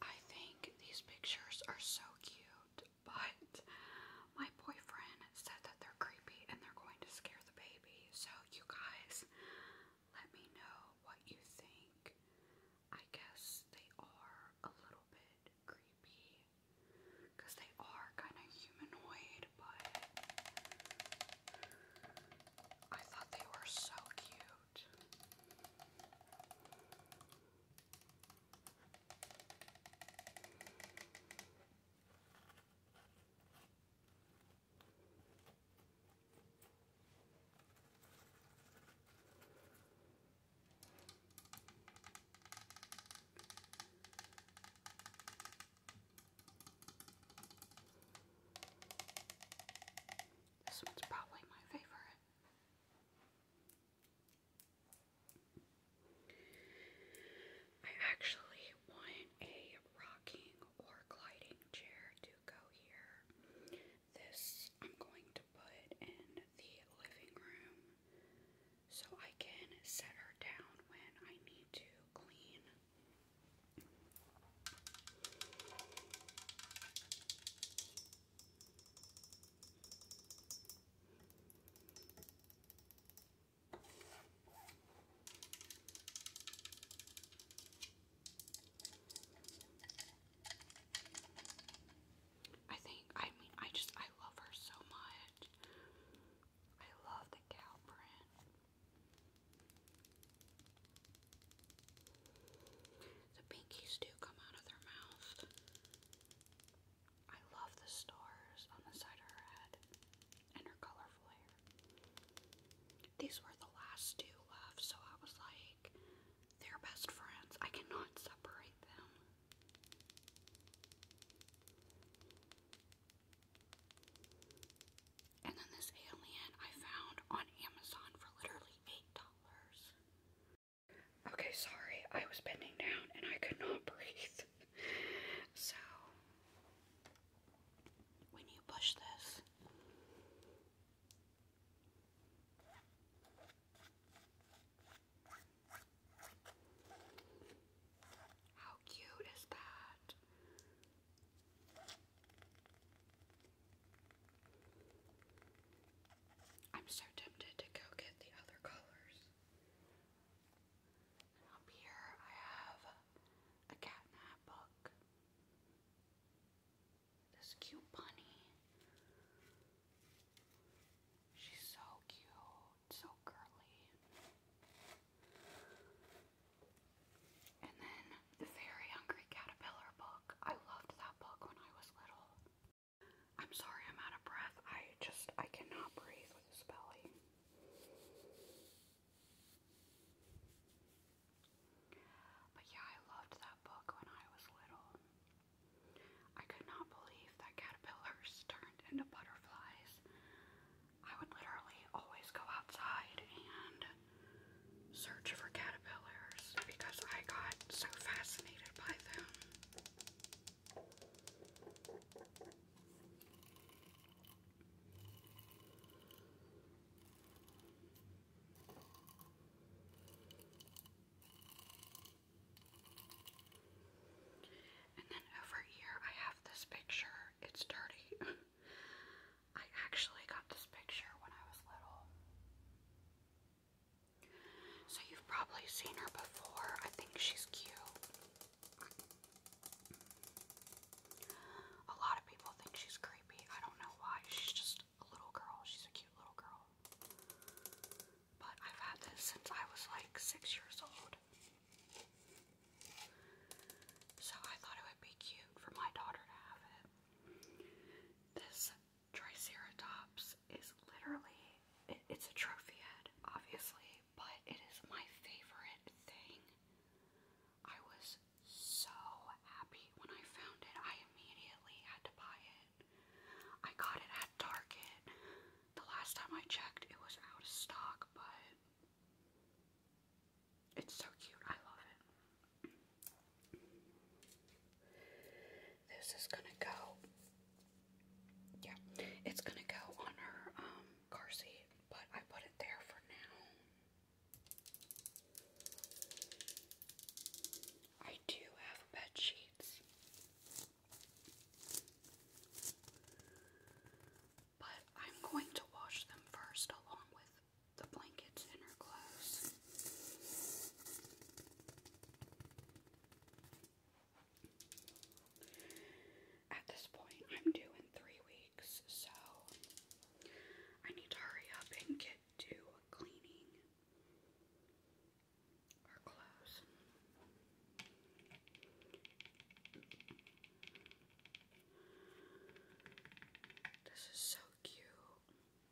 I think these pictures are so cute but my boyfriend said that they're creepy and they're going to scare the baby. So, you guys, let me know what you think. I guess they are a little bit creepy because they are kind of humanoid, but I thought they were so cute. This one's probably my favorite. I actually want a rocking or gliding chair to go here. This I'm going to put in the living room so I can set her down when I need to clean. I think, I mean, I just, I love her so much. I love the cow print. The pinkies do come out of their mouth. I love the stars on the side of her head and her colorful hair. These were the last two left, so I was like, they're best friends. I cannot separate them. And then this alien I found on Amazon for literally $8. Okay, sorry, I was bending down and I could not breathe. so, when you push this, how cute is that? I'm so tempted to go get the other colors. Up here I have a cat in book. This cute bunny. She's so cute, so curly. And then the Very Hungry Caterpillar book. I loved that book when I was little. I'm sorry, I'm out of breath. I just, I cannot breathe with this belly. But yeah, I loved that book when I was little. I could not believe that caterpillars turned into butterflies. I would literally always go outside and search for caterpillars because I got so fascinated by them. And then over here, I have this picture. It's dirty. I actually got this picture when I was little. So you've probably seen her before. I think she's cute. A lot of people think she's creepy. I don't know why. She's just a little girl. She's a cute little girl. But I've had this since I was like six years old. So I thought it would be cute for my daughter to have it. This Triceratops is literally, it's a trophy head, obviously, but it is my favorite thing. I was so happy when I found it. I immediately had to buy it. I got it at Target. The last time I checked, it was out of stock, but it's so cute. I love it. This is gonna go. Yeah, it's gonna go on her um, car seat, but I put it there for now. I do have bed sheets, but I'm going to wash them first along with the blankets and her clothes. At this point, I'm due three weeks, so I need to hurry up and get to cleaning our clothes. This is so cute. And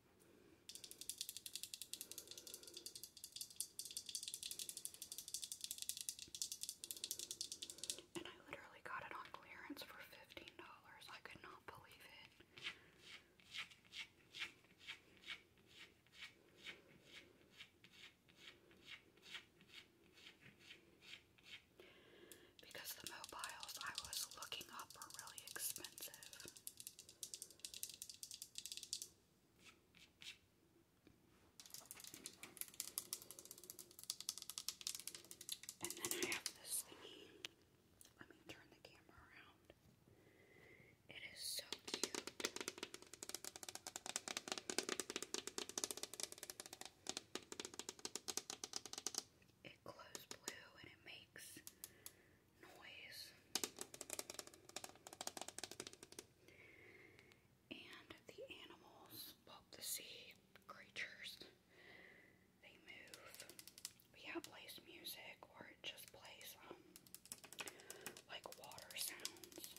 I literally got it on clearance for $15. I could not believe it. Because the mobiles I was looking up were really expensive. And then I have this thingy. Let me turn the camera around. It is so cute. It glows blue and it makes noise. And the animals, the sea creatures, they move. it plays music or it just plays, um, like water sounds.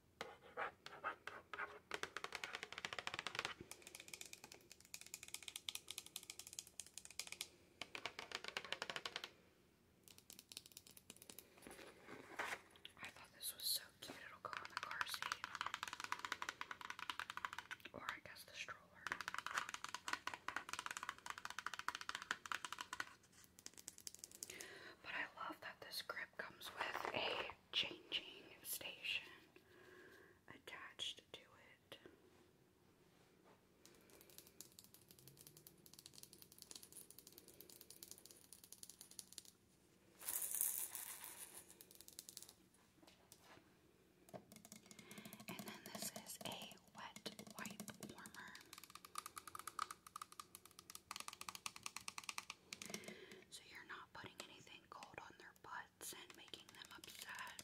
I thought this was so cute, it'll go on the car seat. Or I guess the stroller. But I love that this grip comes with a changing station attached to it. And then this is a wet wipe warmer. So you're not putting anything cold on their butts and making them upset.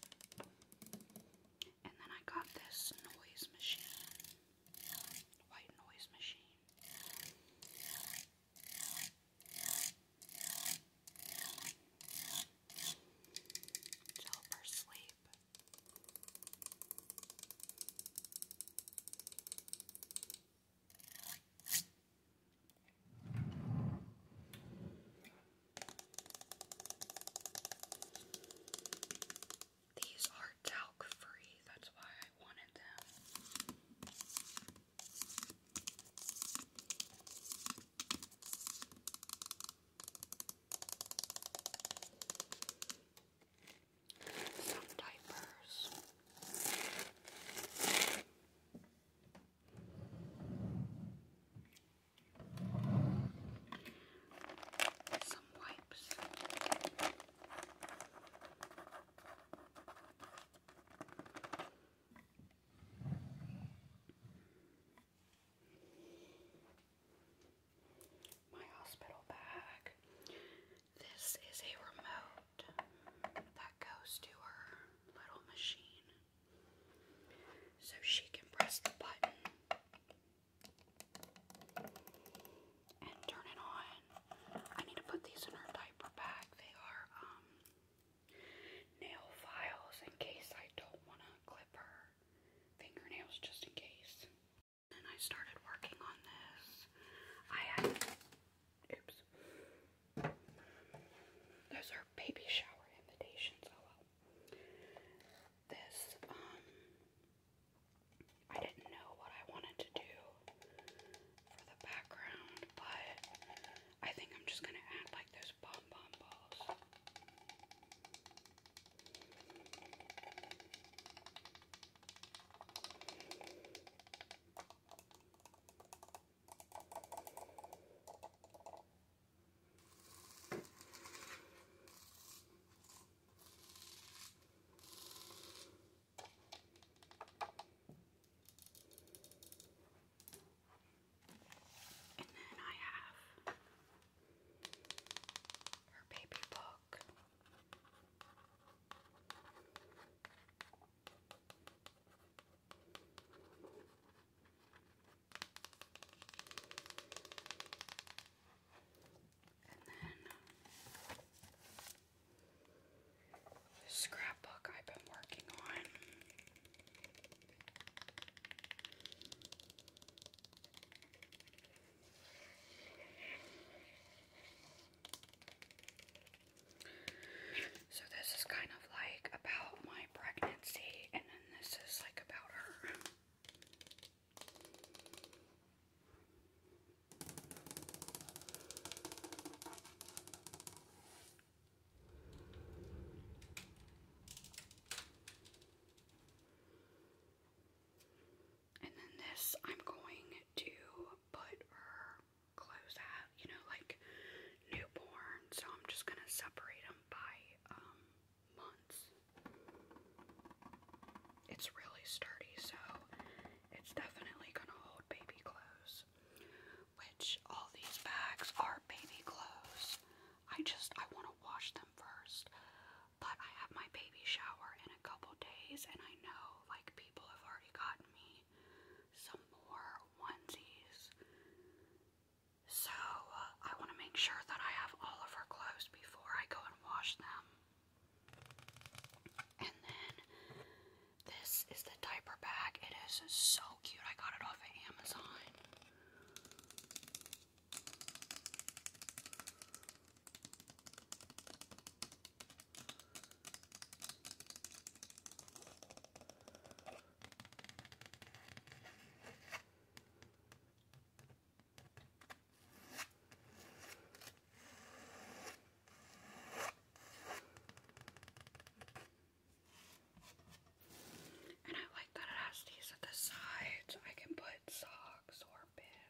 And then I got this noise machine. White noise machine. To help her sleep. These are talc free, that's why I wanted them some diapers. Some wipes. My hospital bag this is a remote that goes to her little machine. So she can press the button and turn it on. I need to put these in her diaper bag. They are um, nail files in case I don't want to clip her fingernails just in case. And I started working on this. oops, those are baby shower invitations. Oh well. This, um, I didn't know what I wanted to do for the background, but I think I'm just gonna add like those bomb bomb balls. And then I have her baby book then the scrapbook I've been working on. So this is kind of like about my pregnancy, and then this is like about her. And then this, I'm going to put her clothes out, you know, like newborn. So I'm just going to separate them by um, months. It's really sturdy, so it's definitely going to hold baby clothes. Which all these bags are baby clothes. I just, I want to wash them first. But I have my baby shower in a couple days, and I know like people have already gotten me some more onesies. So uh, I want to make sure that I have all of her clothes before I go and wash them. And then this is the diaper bag. It is so cute. I got it off of Amazon. And I like that it has these at the sides. So I can put socks or pins.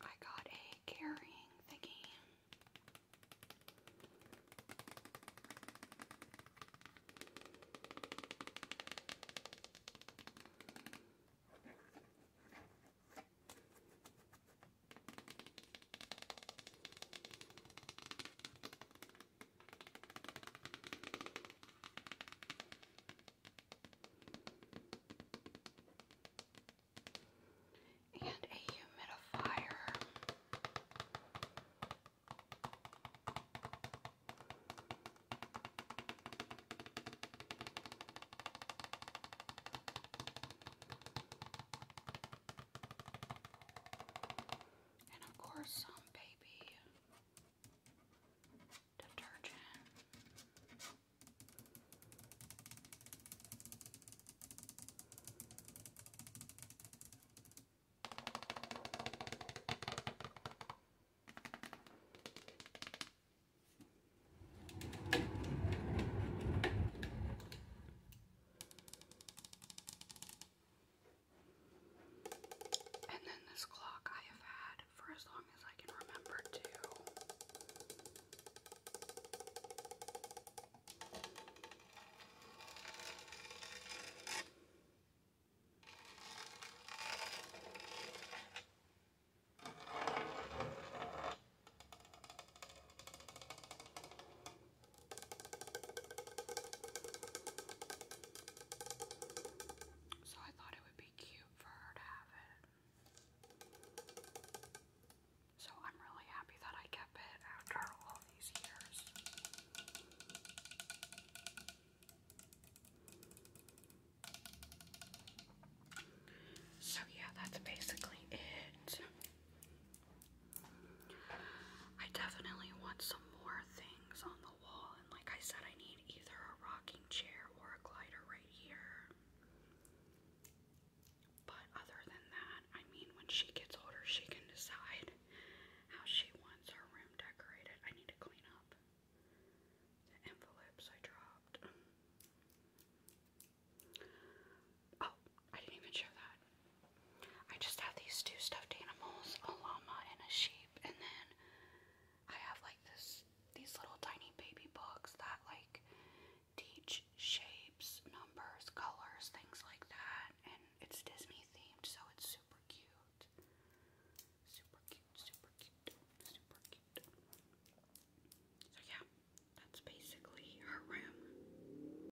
I got a carrying thingy and a humidifier. And of course, some baby detergent. And then this clock I have had for as long as I can remember, too. So I thought it would be cute for her to have it. So I'm really happy that I kept it after all these years. So yeah, that's basically it. I definitely want some more things on the wall, and like I said, I need either a rocking chair or a glider right here. But other than that, I mean, when she gets older, she can decide how she wants her room decorated. I need to clean up the envelopes I dropped. Oh, I didn't even show that. I just have these two stuffed animals, a llama and a sheep, and then I have like this these little tiny baby books that like teach shapes, numbers, colors, things like that. And it's Disney themed, so it's super cute. Super cute, super cute, super cute. So yeah, that's basically her room.